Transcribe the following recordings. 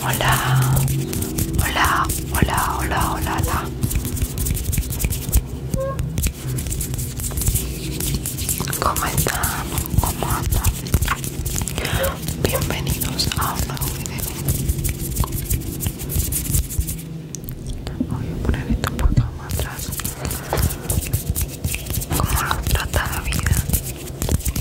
Hola, hola, hola, hola, hola, hola. ¿Cómo están? ¿Cómo andan? Bienvenidos a un nuevo video. Voy a poner esto un poco más atrás. ¿Cómo nos trata la vida?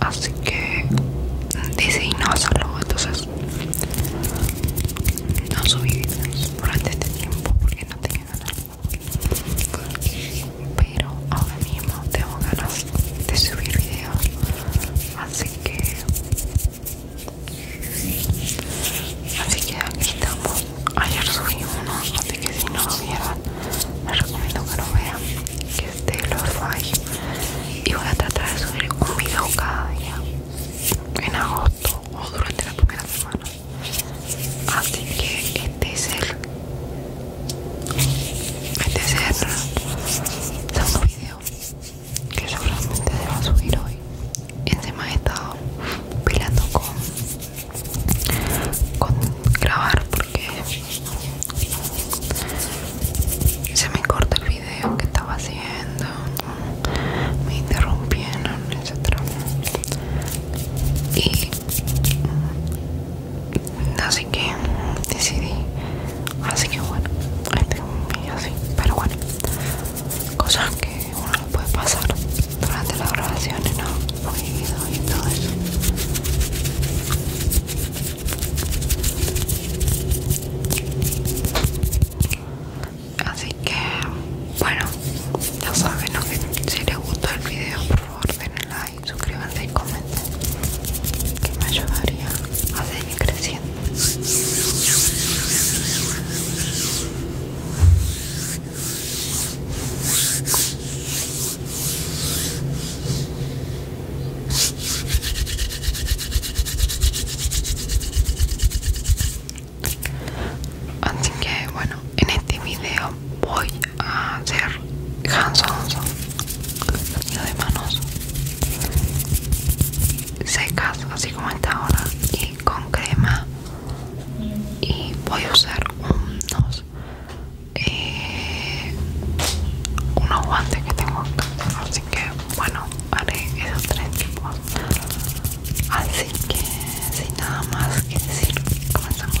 así que dice y no hacerlo entonces no subí videos durante este tiempo porque no tenía ganas pero ahora mismo tengo ganas de subir videos así que así que aquí estamos ayer subí uno así que si no lo vieron les recomiendo que lo vean de este, Lo-Fi y voy a tratar de subir un video cada día en agosto o durante la primera semana así que este es el este es segundo video que seguramente se va a subir hoy encima he estado peleando con con grabar porque se me corta el video que estaba haciendo. Me interrumpieron, etc. Y así que decidí. Así que bueno, ahí un así. Pero bueno, cosas que uno puede pasar durante las grabaciones, ¿no? y todo eso. Así que, bueno, ya saben que si les gustó el video, por favor denle like, suscríbanse y comenten, que me ayudaría a seguir creciendo. Así que bueno, en este video voy a hacer hands on de manos secas, así como está ahora, y con crema. Y voy a usar unos eh, unos guantes que tengo acá, así que bueno haré esos tres tipos así que sin nada más que decir comenzamos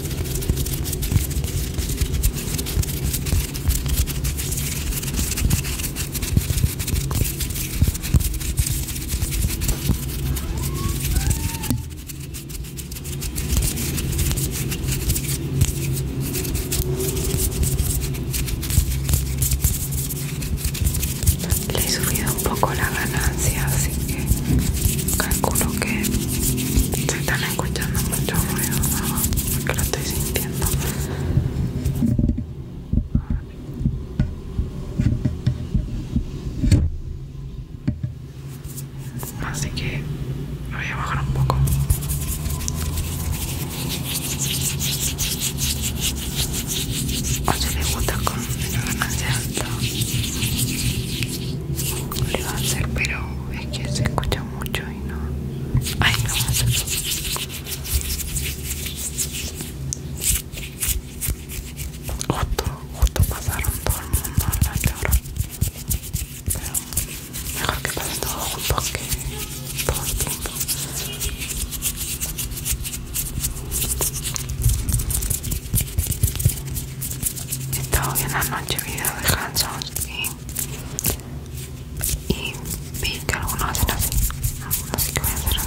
Le he subido un poco la ganancia, así calculo que se están escuchando mucho ruido, ¿no? que lo estoy sintiendo. Así que lo voy a bajar un poco. O si le gusta con alto. alta, le va a hacer, pero es que se escucha mucho y no. Ay, no Justo, justo pasaron todo el mundo a la Pero mejor que pasen todos juntos que todo el tiempo he estado viendo anoche videos de Hanson y, y vi que algunos hacen así, algunos sí que voy a hacer así.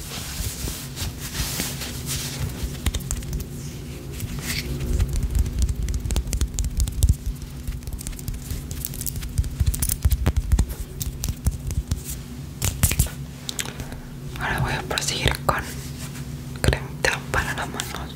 Ahora voy a proseguir con cremita para las manos.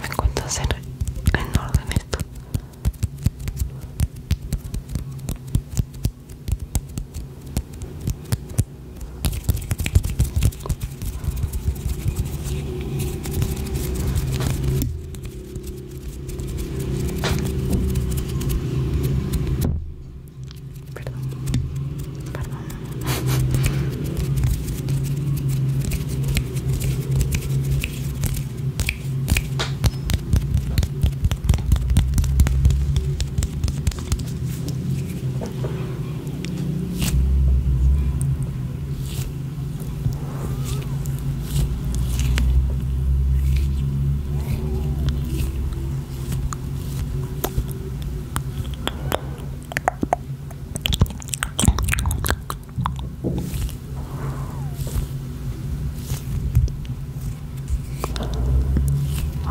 Me cuesta hacer en orden esto. Perdón, perdón.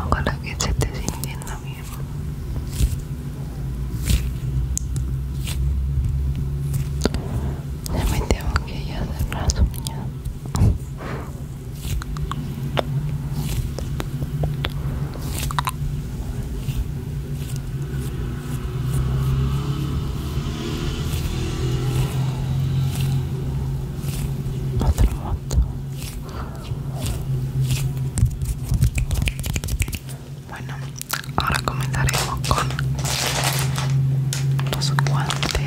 Ojalá que se esté sintiendo bien. Ya me tengo que ir a cerrar su mañana. Bueno, ahora comenzaremos con los guantes.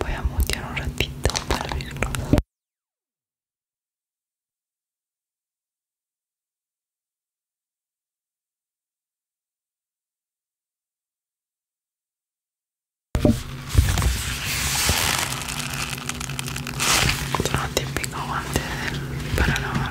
Voy a mutear un ratito para abrirlo. Otro típico antes para lavar.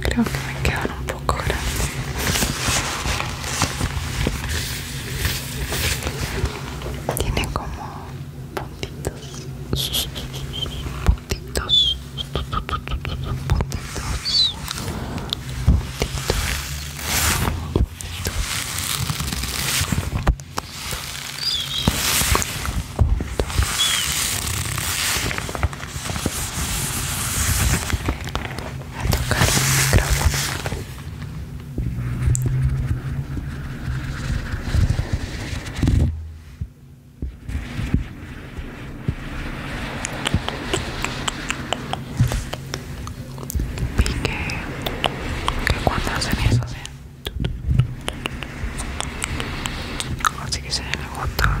Creo que me quedan un poco grandes. Tiene como puntitos, puntitos, puntitos, a tocar el micrófono vi que, que cuando hacen eso ¿sí? así que se me gusta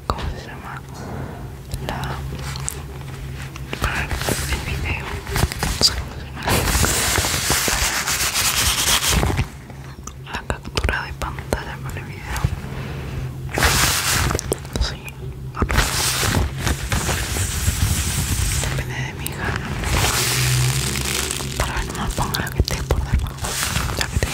¿cómo se llama? la para el video no sé cómo se llama la captura de pantalla para el video sí depende de mi hija para ver no ponga la que esté por debajo la que te yo,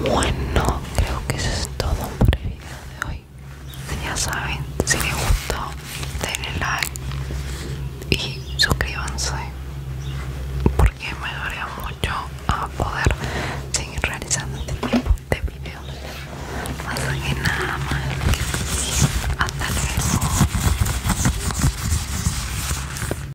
Bueno, creo que eso es todo por el video de hoy. Ya saben, si les gustó, denle like y suscríbanse porque me ayudaría mucho a poder seguir realizando este tipo de videos. Así que nada más. Hasta luego.